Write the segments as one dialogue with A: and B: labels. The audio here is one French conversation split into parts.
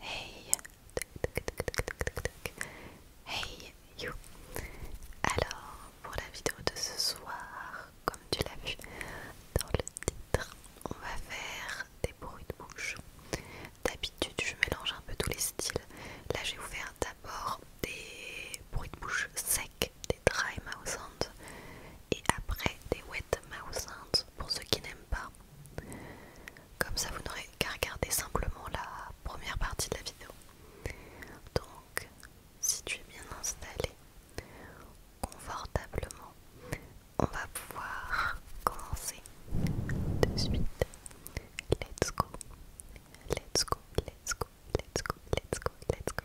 A: Hey Hey you Alors pour la vidéo de
B: ce soir, comme tu l'as vu dans le titre, on va faire des bruits de bouche. D'habitude je mélange un peu tous les styles. Là j'ai ouvert faire d'abord des bruits de bouche secs, dry mouse sounds et après des wet mouse sounds pour ceux qui n'aiment pas. Comme ça, vous n'aurez qu'à regarder simplement la première partie de la vidéo. Donc, si tu es bien installé confortablement, on va pouvoir commencer de suite. Let's go, let's go, let's go, let's go, let's go, let's go.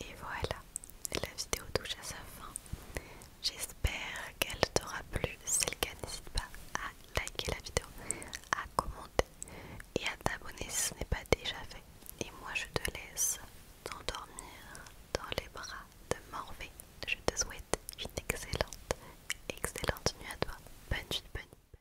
B: Et voilà, la vidéo touche à sa fin. J'espère qu'elle t'aura plu. Si c'est le cas, n'hésite pas à liker la vidéo, à commenter et à t'abonner si ce n'est pas déjà fait. Et moi, je te laisse t'endormir
C: dans les bras de Morvée. Je te souhaite une excellente, excellente nuit à toi. Bonne nuit, bonne nuit.